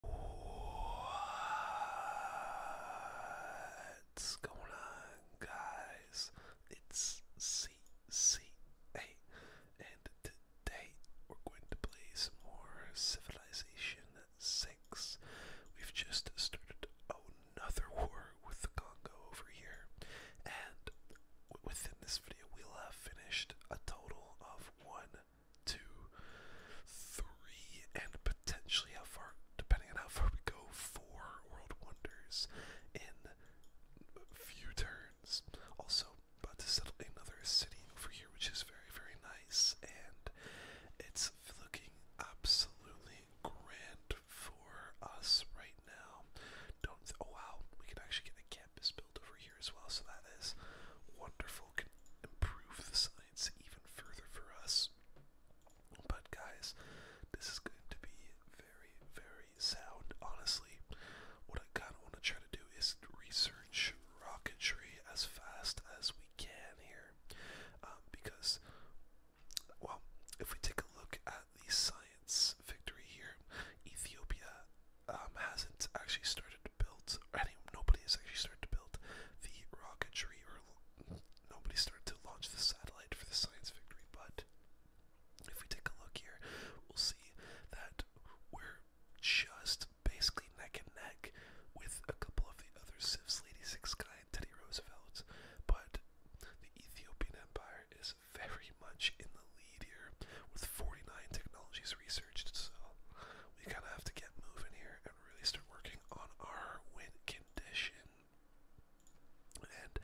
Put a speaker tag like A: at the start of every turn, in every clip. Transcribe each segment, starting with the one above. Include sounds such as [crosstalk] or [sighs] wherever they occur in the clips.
A: What's going on, guys? It's CCA, and today we're going to play some more Civilization 6. We've just started another war with the Congo over here, and within this video, we'll have finished a total of one two, three, and potentially how far, depending on how far we go, four World Wonders in a few turns. Also, about to settle another city over here, which is very, very nice, and it's looking absolutely grand for us right now. Don't. oh wow, we can actually get a campus built over here as well, so that is wonderful. Can improve the site. It's even further for us. But guys, this is going to be very, very sound. Honestly, what I kind of want to try to do is research rocketry as fast as we can here, um, because, well, if we take a look at the science victory here, Ethiopia um, hasn't actually started to build built, or nobody has actually started to build the rocketry, or nobody started to launch the satellite for the science victory. But if we take a look here, we'll see that we're just basically neck and neck with a couple of the other civs, Lady Six Guy Teddy Roosevelt, but the Ethiopian Empire is very much in the lead here with 49 technologies researched, so we kind of have to get moving here, really start working on our win condition. And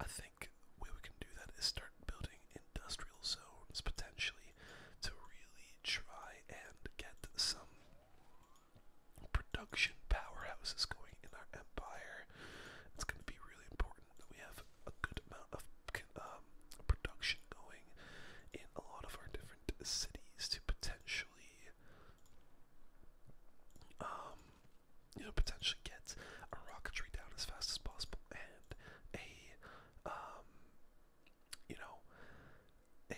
A: I think way we can do that is start building industrial zones potentially to really try and get some production powerhouses going in our empire. It's going to be really important that we have a good amount of um, production going in a lot of our different cities to potentially, um, you know, potentially get a rocketry down as fast as possible and a, um, you know, a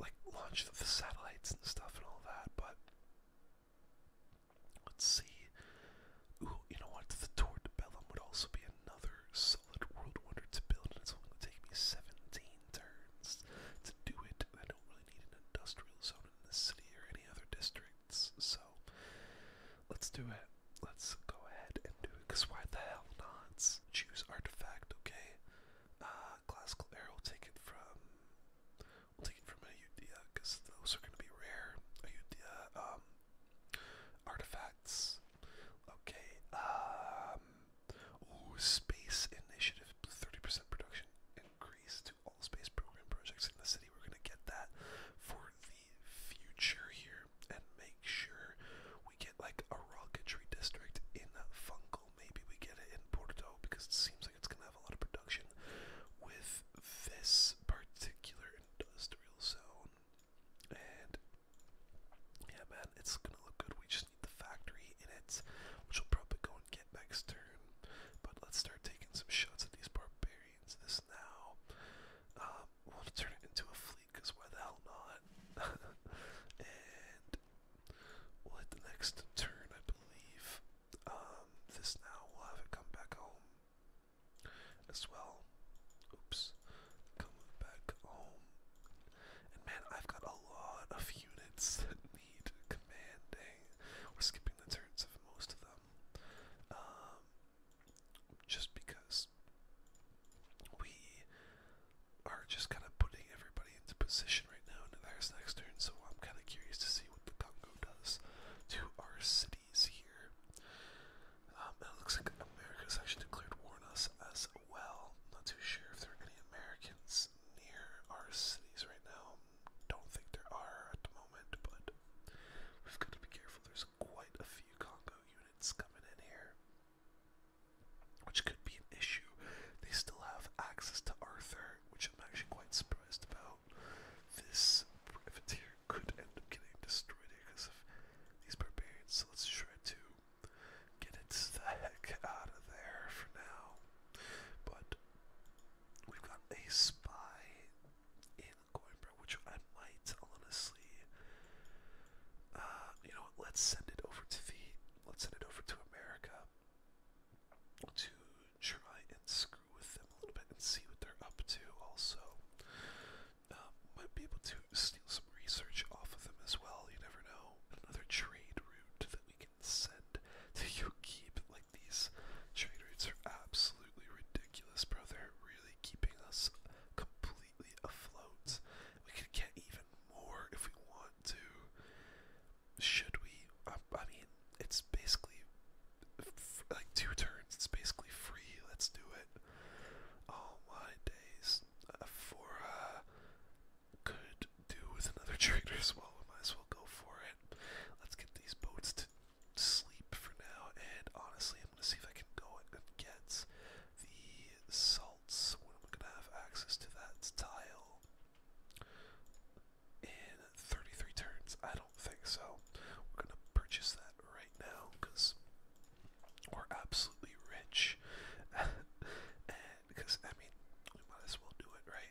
A: like launch the satellites and stuff and all that. But let's see. you know what? The Tour Bellum would also be another solid world wonder to build, it's only going to take me 17 turns to do it. I don't really need an industrial zone in this city or any other districts, so let's do it. Let's go ahead and do it, because why the hell not? Choose artifact, okay? Uh, classical arrow, will take it from, we'll take it from a Ayudhya, because those are going to be rare. Ayudhya, um, artifacts. Okay, um, Ooh, Space Initiative, 30% production increase to all space program projects in the city. We're going to get that for the future here and make sure we get like a rocketry district in Fungal. Maybe we get it in Porto because it seems like it's going to have a lot of production with this particular industrial zone. And yeah, man, it's gonna look good. We just need the factory in it, which we'll probably go and get next turn. But let's start taking some shots at these barbarians. This now. Um, we'll turn it into a fleet, because why the hell not? [laughs] and we'll hit the next turn, I believe. Um, this now, we'll have it come back home as well. Oops coming back home. And man, I've got a lot of units [laughs] that need commanding. We're skipping the turns of most of them. Um, just because we are just kind of putting everybody into position right now And there's next turn, so I'm kind of curious to see what the Congo does to our cities here. Um, it looks like America has actually declared war on us as well. Not too sure if there are any Americans near our cities right now. Don't think there are at the moment, but we've got to be careful. There's quite a few Congo units coming in here, which could be an issue. They still have access to Arthur, which I'm actually quite surprised about. This privateer could end up getting destroyed because of these barbarians, so let's shred too get it the heck out of there for now. But we've got a spy in Coimbra, which I might honestly. Uh, you know Let's send it over to the. Let's send it over to America to try and screw with them a little bit and see what they're up to. Also, uh, might be able to steal some research off of them as well. You never know. Another trade route that we can send to [laughs] keep Like these trade routes are absolutely ridiculous, bro. They're really keeping us completely afloat. We could get even more if we want to. Should we? Um, I, mean, it's basically like two turns. It's basically free. Let's do it. All oh my days. Uh, for uh, could do with another [laughs] trigger as well. We might as well go for it. Let's get these boats to sleep for now. And honestly, I'm going to see if I can go and get the salts when i going to have access to that tile in 33 turns. I don't think so. We're going to purchase that right now because we're absolutely rich. [laughs] because I mean we might as well do it, right?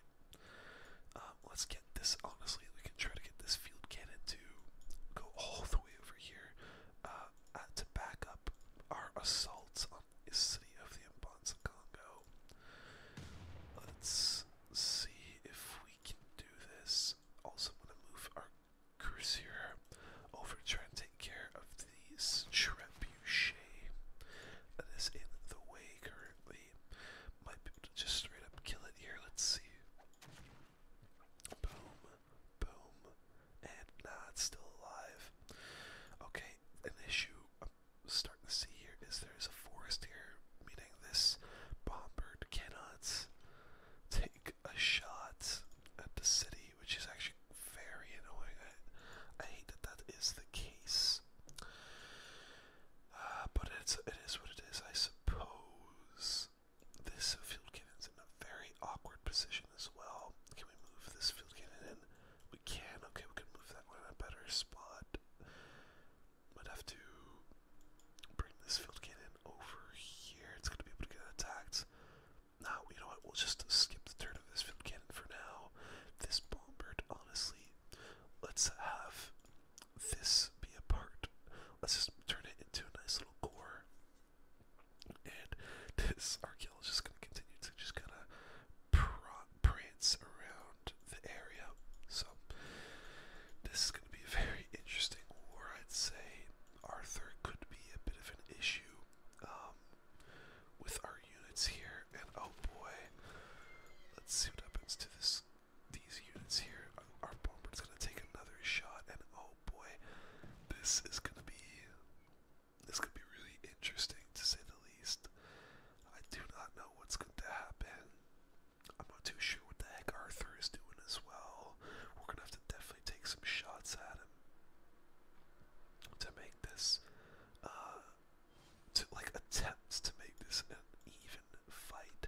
A: Um, let's get this. Honestly, we can try to get this field cannon to go all the way over here uh, to back up our assaults on the city of the Mbanza Congo. Let's see if we can do this. Also, want to move our cursor over, try and take care of these trebuchet that is in the way currently. Might just straight up kill it here. Let's see. Boom, boom, and nah, it's still alive. Okay, an issue I'm starting to see here is there's a forest here, meaning this bomb cannot take a shot at the city which is actually very annoying. I, hate that that is the case. Uh, but it's, it is what it is, I suppose. This field cannon's in a very awkward position as well. Can we move this field cannon in? We can. Okay, we can move that one in a better spot. Might have to bring this field cannon over here. It's going to be able to get attacked. Now, you know what, we'll just skip the turn of this cannon for now. This bombard, honestly, let's have this be a part. Let's just turn it into a nice little core. And this archaeologist is going to continue to just kind of prance around the area. So, this is going to be a very interesting war, I'd say. Arthur could be a bit of an issue um, with our units here, and oh boy, let's see what happens to this these units here. Our bomber's gonna take another shot, and oh boy, this is gonna be this could be really interesting to say the least. I do not know what's going to happen. I'm not too sure what the heck Arthur is doing as well. We're gonna have to definitely take some shots at him to make this uh, to like attempts to make this an even fight.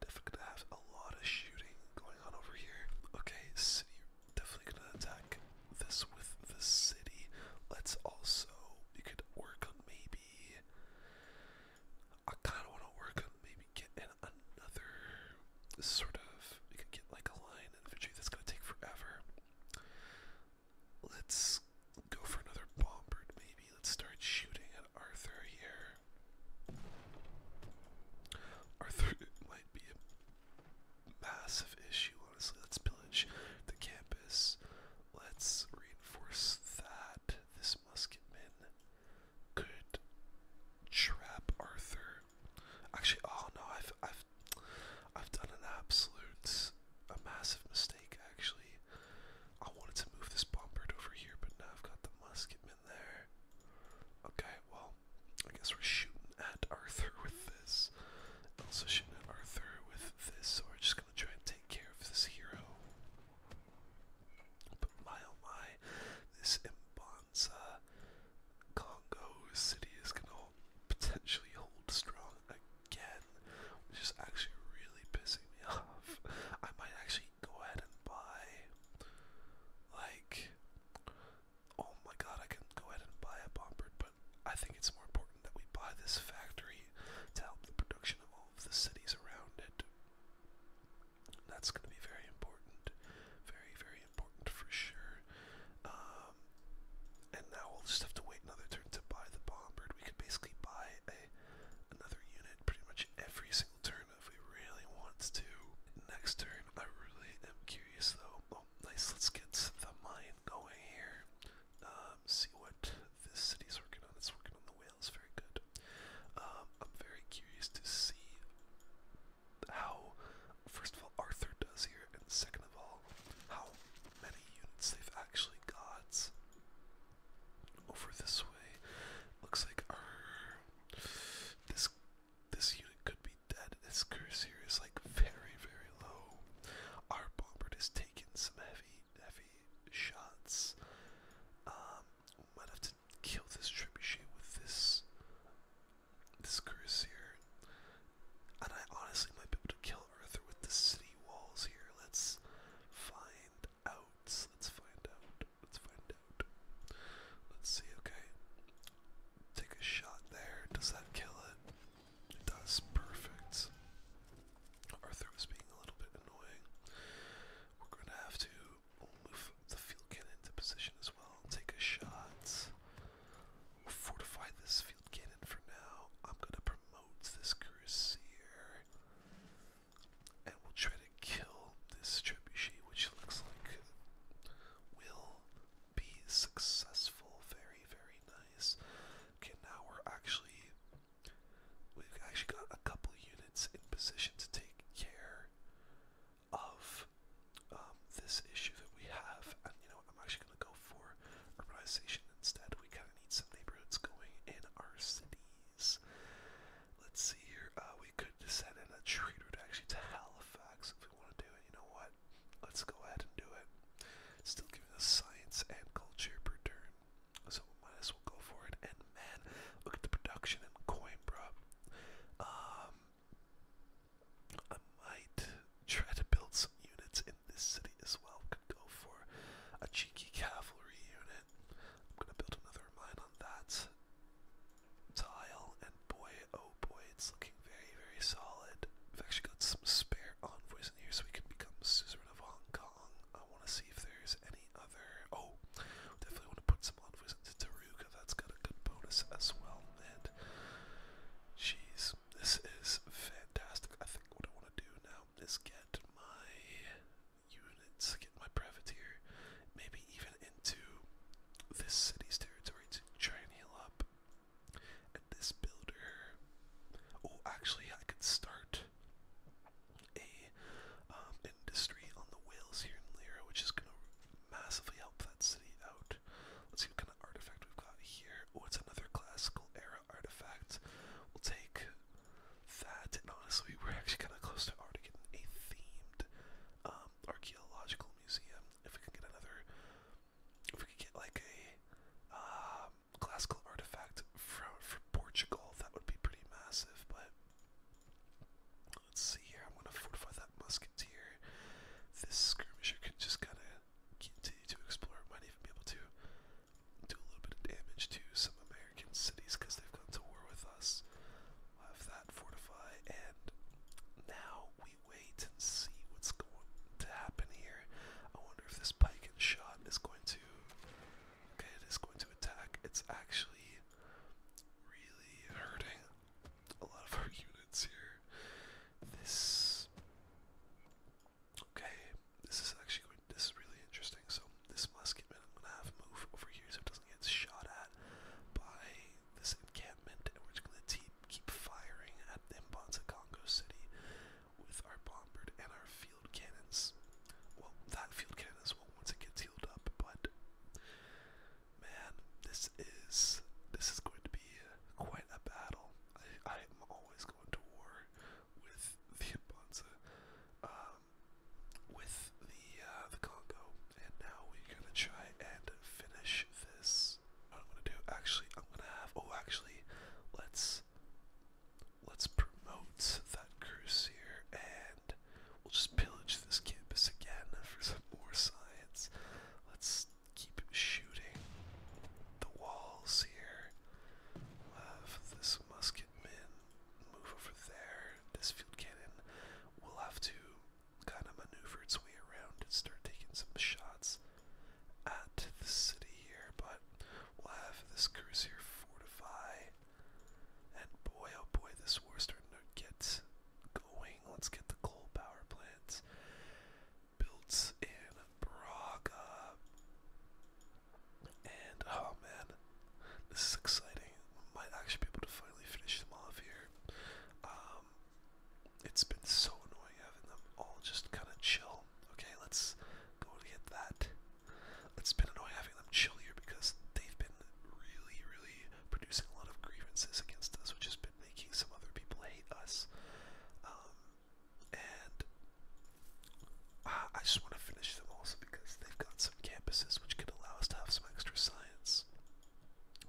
A: Definitely gonna have a lot of shooting going on over here. Okay, city definitely gonna attack this with the city. Let's also you could work on maybe I kinda wanna work on maybe getting another sort of you could get like a line infantry that's gonna take forever. Let's go for another bombard, maybe. Let's start shooting at Arthur here. Arthur might be a massive issue, honestly. Let's pillage the campus. Let's reinforce that. This musketman could trap Arthur. Actually, oh no, I've, I've I've done an absolute a massive mistake actually. I wanted to move this bombard over here, but now I've got the musket in there. Okay, well, I guess we're shooting at Arthur [laughs] with this. Also shooting at Arthur with this, so we're just gonna try and take care of this hero. But my oh my, this imbonza, Congo city is gonna potentially hold strong again, which is actually really pissing me [laughs] off. I might actually go ahead and buy, like, oh my god, I can go ahead and buy a bomber, but I think it's more important that we buy this factory to help the production of all of the cities around it. That's going to be very important, very, very important for sure. Um, um, and now we'll just have to wait another turn to buy the Bomber. We could basically buy a another unit pretty much every single turn if we really want to. Next turn, I really am curious though. Oh, nice. Let's get the mine going here. Um, see what this city's working on. It's working on the whales. Very good. Um, I'm very curious to see how, first of all, Arthur does here, and second of all, how many units they've actually got. Over this way, looks like our this this unit could be dead. This curse is like very very low. Our bombard has taken some heavy heavy shots. Um, might have to kill this trebuchet with this this curse and I honestly might be able to kill kill with the city walls here. Let's find out. Let's find out. Let's find out. Let's see. Okay. Take a shot there. Does that kill it? It does. Perfect. Arthur was being a little bit annoying. We're going to have to move the field cannon into position as well. Take a shot. fortify this field field cannon for now. I'm gonna promote this Crusader. And we'll try to kill this trebuchet, which looks like will be successful. Very, very nice. Okay, now we're actually we've actually got a couple units in position to take care of um, this issue that we have, and you know know what, I'm actually going to go for urbanization instead. We kind of need some neighborhoods going in our cities. Let's see here. Uh, we could send in a trade route actually to Halifax if we want to do it. You know what? Let's go ahead and do it. Still giving us science and culture per turn. So we might as well go for it. And man, look at the production in Coimbra. Um, I might try to build some units in this city as well. Could go for a cheeky cavalry unit. I'm gonna build another mine on that tile, and boy, oh boy, it's looking very, very solid. We've actually got some spare envoys in here, so we can become suzerain of Hong Kong. I want to see if there's any other. Oh, definitely want to put some envoys into Taruga. That's got a good bonus as well, and jeez, this is fantastic. I think what I want to do now is get my units, get my privateer, maybe even into this city's territory to try and heal up. And this builder. Oh, actually, I could start a um, industry on the whales here in Lyra, which is going to massively help that city out. Let's see what kind of artifact we've got here. Oh, it's another classical era artifact. We'll take that, and honestly, we're actually kind of close to already getting a themed um, archaeological museum. If we could get another, if we could get like a um, classical artifact from Portugal, that would be pretty massive. But let's see here. I'm gonna fortify that musketeer. This skirmisher can just kind of continue to explore. Might even be able to do a little bit of damage to some American cities because they've gone to war with us. have that fortify, and now we wait and see what's going to happen here. I wonder if this pike and shot is going to. Okay, it is going to attack. It's actually really hurting a lot of our [laughs] units here. This Okay, this is actually going, this is really interesting. So this musketman I'm gonna have move over here so it doesn't get shot at by this encampment, and we're just gonna keep firing at Mbonza Congo City with our bombard and our field cannons. Well, that field cannon as well once it gets healed up, but man, this is this is going to be quite a battle. I am always to war with the Bonza, um, with the uh, the Congo, and now we're gonna try and finish this. What I'm gonna do? Actually, I'm gonna have. Oh, actually, let's let's promote that cruise here, and we'll just pillage this campus again for some more science. Let's keep shooting the walls here. We'll have this musket man move over there. This field cannon will have to kind of maneuver its way around and start taking some shots at the city here, but we'll have this cruiser fortify. And boy, oh boy, this war's starting to get going. Let's get the coal power plants built in Braga. And oh man, this is exciting. We might actually be able to finally finish them off here. Um, it's been so annoying having them all just kind of chill. Okay, let's go and get that. It's been annoying having them chill here because they've been really, really producing a lot of grievances against us, which has been making some other people hate us. Um, and uh, I just want to finish them also because they've got some campuses which could allow us to have some extra science,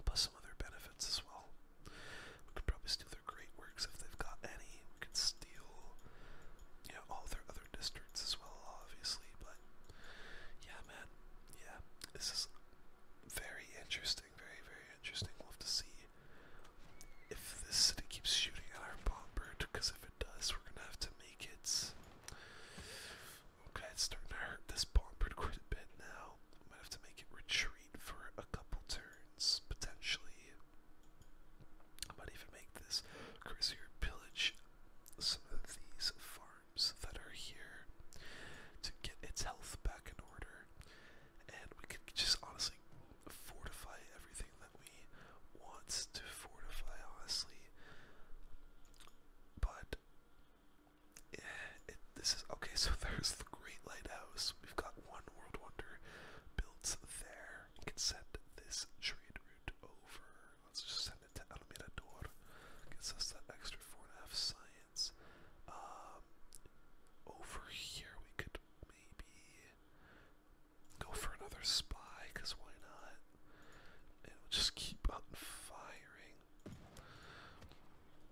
A: plus some other benefits as well. We could probably steal their great works if they've got any. We could steal, you know, all their other districts as well, obviously. But yeah, man, yeah, this is very interesting very, very interesting. We'll have to see if this city keeps shooting at our bomber, because if it does, we're gonna have to make it. Okay, it's starting to hurt this bomber quite a bit now. We might have to make it retreat for a couple turns, potentially. I might even make this cruiser pillage some of these farms that are here to get its health back in order and we can just honestly fortify everything that we want to fortify, honestly. But this is okay. So [laughs] there's the Great Lighthouse. We've got one World Wonder built there. We can send this trade route over. Let's just send it to El Mirador. Gives us that extra four and a half science. Um, over here we could maybe Go for another spy, because why not? And we'll just keep on firing.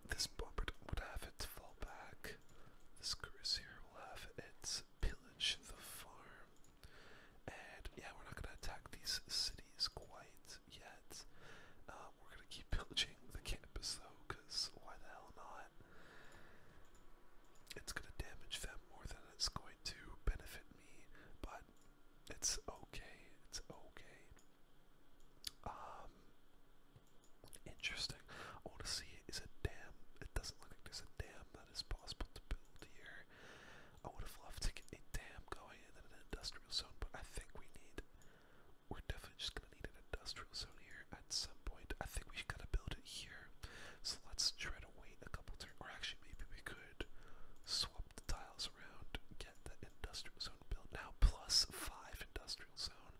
A: This bomber would have it fall back. This cruiser will have it pillage the farm. And yeah, we're not gonna attack these cities quite yet. Uh, we're gonna keep pillaging the campus though, why the hell not? It's going to damage them more than it's going to benefit me, but it's okay. It's okay. Um, interesting. I want to see, is a dam? It doesn't look like there's a dam that is possible to build here. I would have loved to get a dam going in an industrial zone, but I think we need, we're definitely just going to going industrial zone here at some point. I think we gotta build it here. So let's try to wait a couple turns, or actually maybe we could swap the tiles around, get the industrial zone built now. Plus five industrial zone.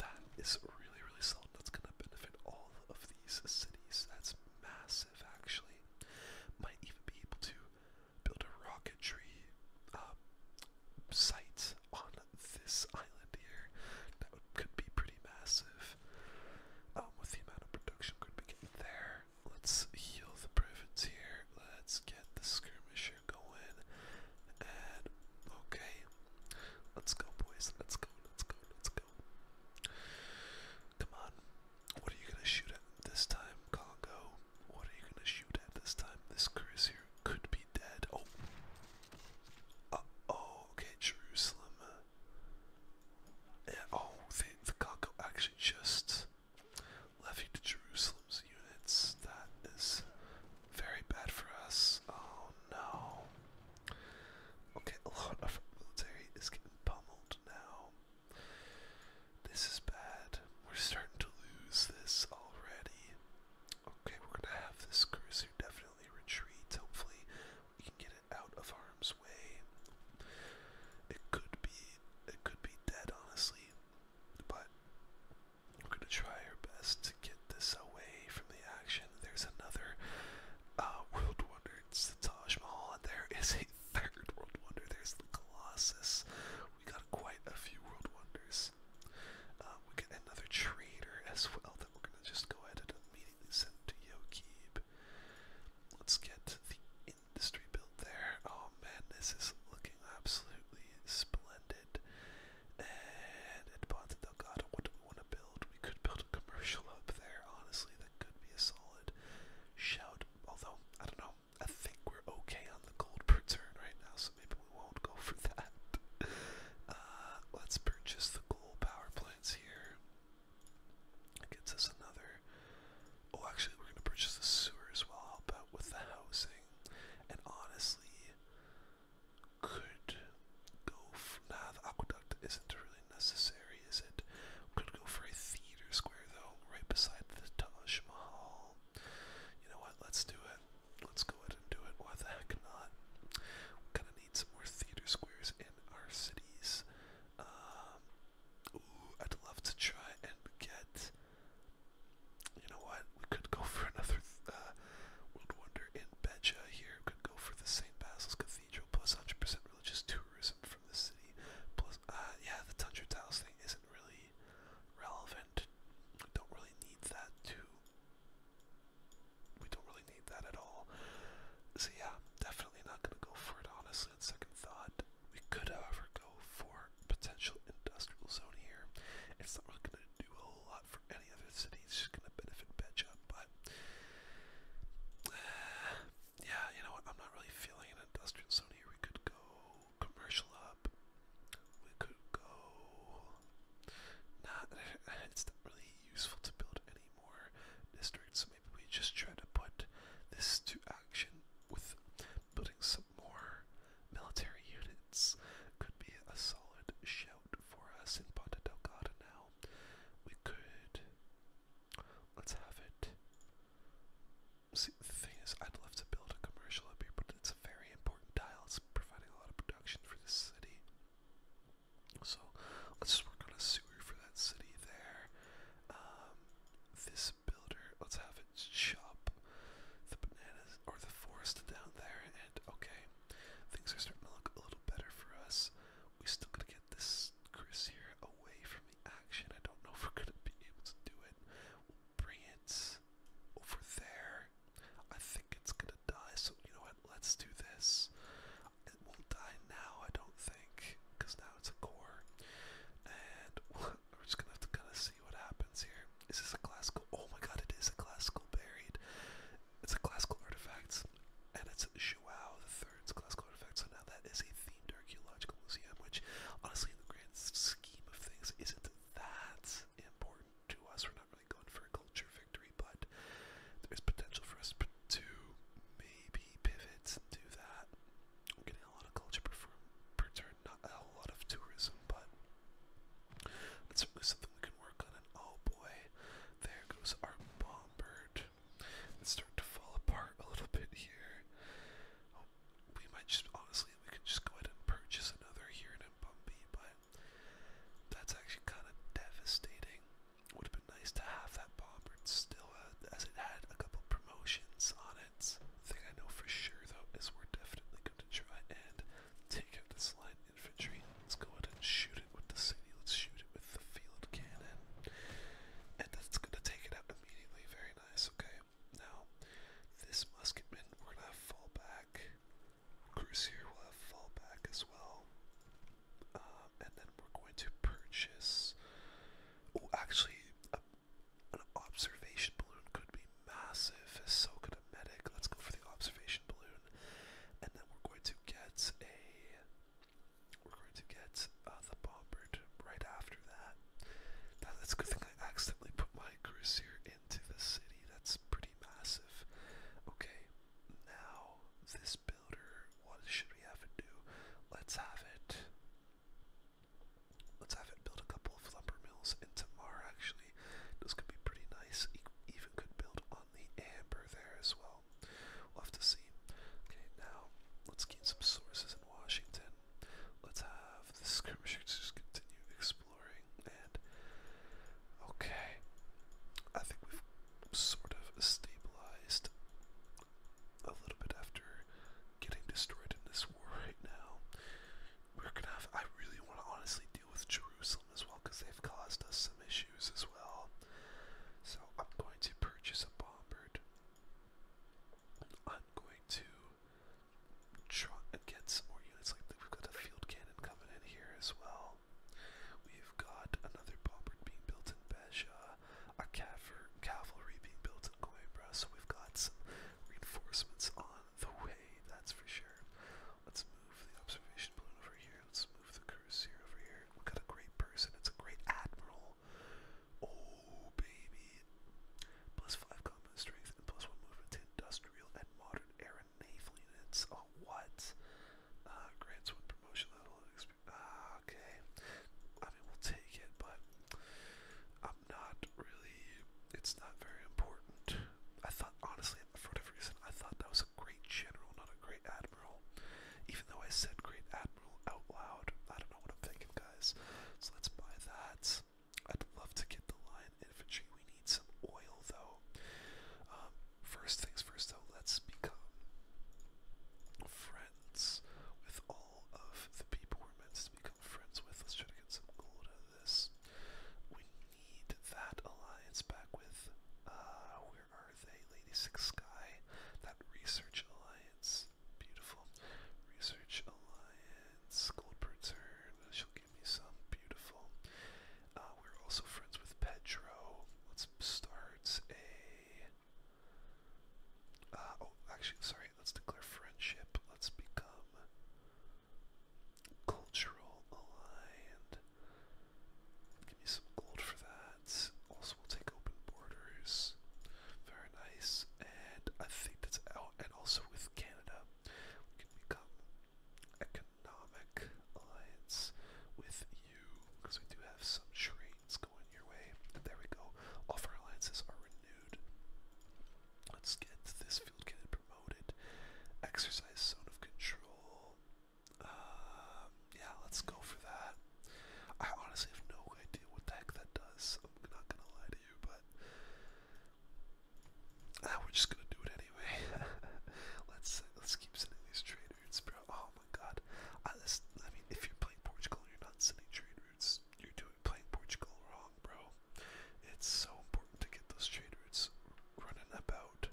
A: That is really really solid. That's gonna benefit all of these cities. That's massive actually. Might even be able to build a rocketry uh, site on this island here. That would, could be pretty massive. Um, with the amount of production we're there. Let's heal the privates here. Let's get the skirmisher going. And okay. Let's go boys. Let's go. Let's go. Let's go. Come on. What are you gonna shoot at this time, Congo? What are you gonna shoot at this time? This cruiser could be dead. Oh uh, oh, okay, Jerusalem. oh, the Congo actually just left you Jerusalem's units. That is very bad for us. Oh no. Okay, a lot of our military is getting pummeled now. This is bad. We're starting to lose this already. Okay, we're gonna have this cruiser definitely slowly Hopefully, we can get it out of harm's way. It could be, it could be dead, honestly, but we're gonna try our best to get this away from the action. There's another uh, world wonder. the Taj Mahal, and there is a [laughs] third world wonder. There's the Colossus. We got quite a few world wonders. Uh, we got another traitor as well we're going to just go ahead immediately send to Let's get the industry built there. Oh man, this is looking absolutely splendid. And at Ponte Delgado, what do we want to build? We could build a commercial up there, honestly. That could be a solid shout. Although, I don't know, I think we're okay on the gold per turn right now, so maybe we won't go for [laughs] that. Uh, let's purchase the power plants here. gets us another. Oh, actually, we're gonna purchase the sewer as well. Help out with the housing, and honestly, could go. For, nah, the aqueduct isn't really necessary, is it? Could go for a theater square though, right beside the Taj Mahal. You know what? Let's do it. Let's go ahead and do it. Why the heck not? need some more theater squares in our cities. Um, ooh, I'd love to try and get. You know what? We could go for another uh, World Wonder in Beja here. could go for the St. Basil's Cathedral, 100% religious tourism from the city. Plus, uh, yeah, the Tundra Tiles thing isn't really relevant. don't really need that to we don't really need that at all. So yeah, definitely not gonna go for it honestly on second thought. We could however go for potential industrial zone here. It's not really gonna do a whole lot for any other city, it's just gonna benefit Betcha, but [sighs] yeah, you know what, I'm not really feeling an industrial zone here. We could go commercial up. We could go not, [sighs] it's not really useful to build any more districts. So maybe we just try to put this to action with building some more military units. Could be a solid shout for us in Del Delgada now. We could. Let's have it. See, the thing is, I'd love to build a commercial up here, but it's a very important tile. It's providing a lot of production for this city. So let's just work on a sewer for that city there. Um, this builder, let's have it chop the bananas or the forest down there. And okay, things are starting to look a little better for us. We still gotta get this Chris here away from the action. I don't know if we're gonna be able to do it. We'll bring it over there. I think it's gonna die, so you know what? Let's do this it won't die now, I don't think, because now it's a core. And [laughs] we're just gonna have to kind of see what happens here. Is this a classical? Oh my god, it is a classical buried. It's a classical artifact, and it's Shuao the Third's classical artifact. So now that is a themed archaeological museum, which honestly, in the grand scheme of things, isn't that important to us. We're not really going for a culture victory, but there's potential for us to maybe pivot and that. getting a lot of culture per, per turn, not a lot of tourism, but that's certainly something we can work on. And oh boy, there goes our bomb It's starting to fall apart a little bit here. Oh, we might just, honestly, we could just go ahead and purchase another here in Bumpy, but that's actually kind of devastating. Would have been nice to have that bomber still, uh, as it had a couple promotions on it. Thing I know for sure though is we're definitely going to try and take out this line infantry. Let's go ahead and shoot it with the city. Let's shoot it with the field cannon, and that's going to take it out immediately. Very nice. Okay. Now, this musketman, we're gonna fall back. Crucier will have fallback as well. Uh, and then we're going to purchase. Oh, actually, an observation balloon could be massive. So could a medic. Let's go for the observation balloon. And then we're going to get a. We're going to get uh, the bomber right after that. Now, that's a good thing I accidentally put my cruiser into the city. That's pretty massive. Okay, now this builder. What should we have it do? Let's have it. Let's have it build a couple of lumber mills in Tamar, actually. This could be pretty nice. even could build on the amber there as well. We'll have to see. Okay, now let's gain some sources in Washington. Let's have the skirmishers just continue exploring and okay. I think we've sort of stabilized a little bit after getting destroyed in this war right now. We're gonna I really want to honestly deal with Jerusalem as well because they've caused us some issues as well. So I'm going to purchase a bombard. I'm going to try and get some more units like we've got a field cannon coming in here as well. We've got another Bobbert being built in Beja, a cavalry being built in Coimbra, so we've got some reinforcements on the way, that's for sure. Let's move the observation balloon over here, let's move the cruiser over here. We've got a great person, it's a great admiral. Oh, baby. Plus 5 combat strength and plus 1 movement industrial and modern air and naval units. Oh, what? Uh, grants with promotion level and experience. Uh, okay. I mean, we'll take it, but I'm not really. It's not very important. I thought, honestly, for whatever reason, I thought that was a great general, not a great admiral. Even though I said great admiral out loud, I don't know what I'm thinking, guys. So let's buy that. I'd love to get the lion infantry. We need some oil, though. Um, First things first, though, let's become friends with all of the people we're meant to become friends with. Let's try to get some gold out of this. We need that alliance back with, uh, where are they? Lady Six Sky. That research alliance. Beautiful. Research alliance. Gold per She'll give me some. Beautiful. Uh, we're also friends with Pedro. Let's start a. Uh, oh, actually, sorry. Let's declare friendship. Let's become cultural aligned. Give me some gold for that. Also, we'll take open borders. Very nice. And I think that's out. And also with Canada, we can become economic alliance with you, because we do have some trains going your way. there we go. All of are renewed. Let's get this field kit promoted. Exercise zone of control. Um, yeah, let's go for that. I honestly have no idea what the heck that does. I'm not gonna lie to you, but ah, we're just gonna do it anyway. [laughs] let's let's keep sending these traders. Oh my god. I, mean, if you're playing Portugal and you're not sending trade routes, you're doing playing Portugal wrong, bro. It's so important to get those trade routes running about.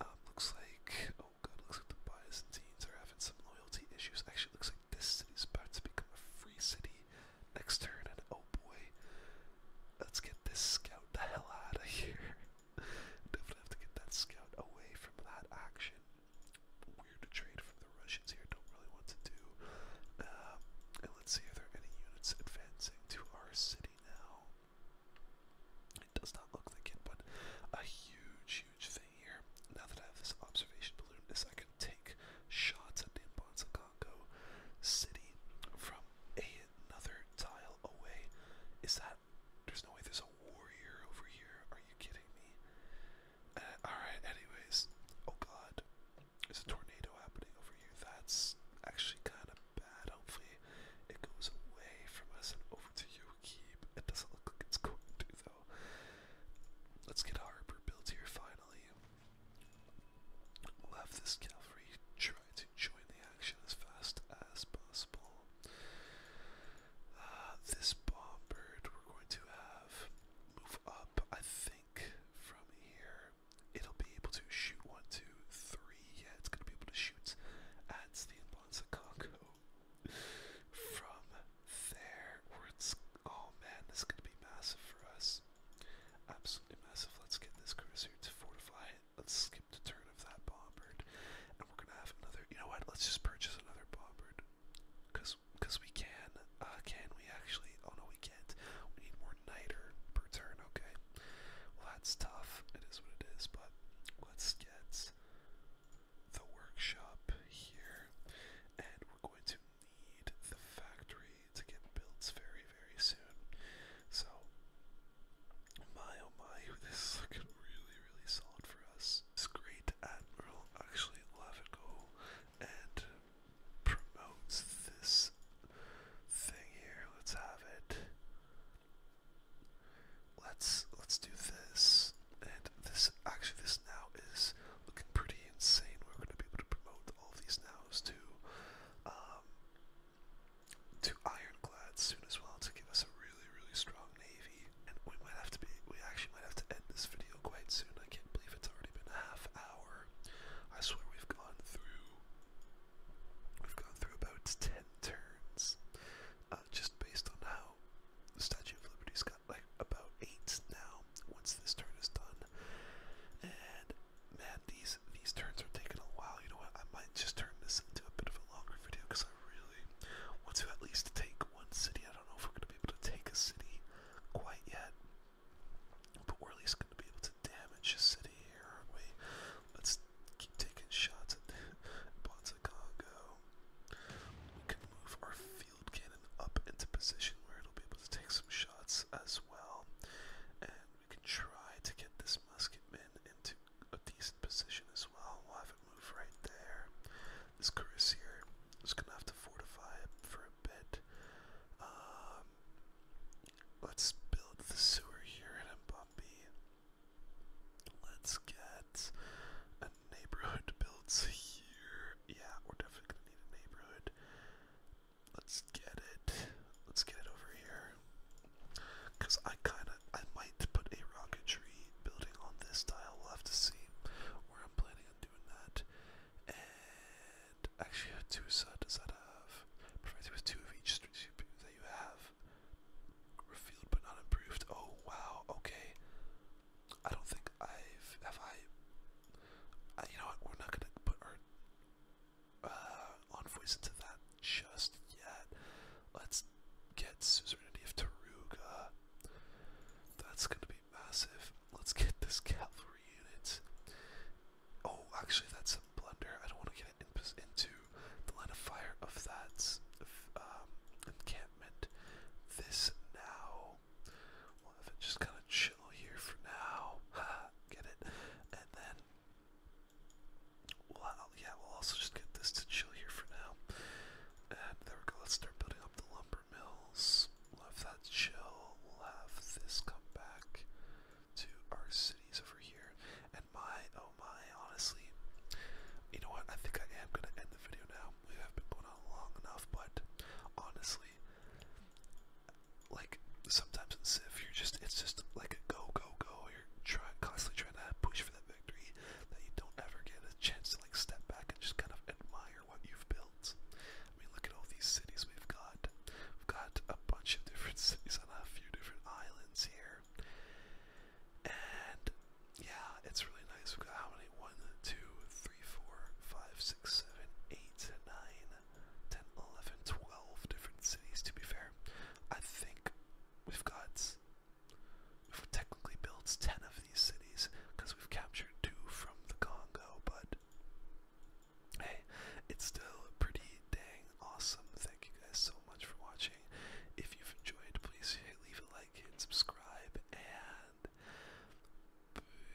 A: Um, looks like, oh god, looks like the bias and teens are having some loyalty issues. Actually, looks like this city's about to become a free city next turn, and oh boy, let's get this scout the hell out of [laughs] here. Definitely have to get that scout away from that action. Weird trade from the Russians here. Don't really want to do. Uh, and let's see if there are any units advancing to our city now. It does not look like it, but a huge, huge thing here. Now that I have this observation balloon, is I can take shots at the Mbonsakongo city from another tile away. Is that there's no way there's a warrior over here. Are you kidding me? Uh, alright, anyways. Oh god. There's a tornado happening over here. That's actually kind of bad. Hopefully, it goes away from us and over to you, Yokib. It doesn't look like it's going to, though. Let's get a harbor built here finally. we this cavalry try to join the action as fast as possible this bomb bird we're going to have move up, I think, from here. It'll be able to shoot one, two, three. Yeah, it's going to be able to shoot at the Bonza Congo from there. it's oh man, this is going to be massive for us. Absolutely massive. Let's get this cursor to fortify it. Let's skip turn of that bombard, and we're gonna have another. You know what? Let's just purchase another bombard, cause cause we can. Uh, can we actually? Oh no, we can't. We need more niter per turn. Okay. Well, that's tough. It is what it is. But let's get the workshop here, and we're going to need the factory to get built very very soon. So my oh my, this is looking really, really solid for us. This great admiral actually let it go and promotes this thing here. Let's have it. Let's let's do this. And this actually this now is looking pretty insane. We're gonna be able to promote all these nows to um, to ironclads soon as well to give us a really, really strong navy. And we might have to be, we actually might have to end this video quite soon. I can't believe it's already been a half hour. I swear we've gone through, we've gone through about 10 turns uh, just based on how the Statue of Liberty's got like about 8 now once this turn is done. And man, these these turns are taking a while. You know what? I might just turn this into a bit of a longer video because really. Once you at least take one city, I don't know if we're gonna be able to take a city quite yet. But we're at least gonna be able to damage a city here, aren't we? Let's keep taking shots at [laughs] Bonza We can move our field cannon up into position where it'll be able to take some shots as well. And we can try to get this musketman into a decent position as well. We'll have it move right there. This Carissa is gonna have to fortify it for a bit. Um, let's build the sewer here in Bumpy. Let's get a neighborhood built here. Yeah, we're definitely gonna need a neighborhood. Let's get it. Let's get it over here. Cause I kinda I might put a rocketry building on this tile. We'll have to see where I'm planning on doing that. And actually Hattusa, does that have provides with two of each street that you have? Revealed but not improved. Oh wow, okay. I don't think I've have I uh, you know we're not gonna put our uh, envoys into that just yet. Let's get Suzerainty of Taruga. That's going to be massive. Let's get this cavalry unit. Oh, actually, that's a blunder. I don't want to get it in, into the line of fire of that um, encampment. This now. We'll just kind of chill here for now. [laughs] get it? And then well, yeah, we'll also just get this to chill here for now. And there we go. Let's start building up the lumber mills. We'll have that chill. We'll have this come back to our cities over here. And my, oh my, honestly, you know what? I think I am gonna end the video now. We have been going on long enough, but honestly, like sometimes in Civ, you're just it's just like a go go go. You're trying constantly trying to push for that that you don't ever get a chance to like step back and just kind of admire what you've built. I mean, look at all these cities we've got. We've got a bunch of different [laughs] cities on a few different islands here. And yeah, it's really nice. We've got how many? 1, different cities to be fair. I think we've got We've technically builds 10 of these cities because we've captured two from the Congo, but hey, it's still a pretty dang awesome. Thank you guys so much for watching. If you've enjoyed, please hit, leave a like, hit subscribe, and peace.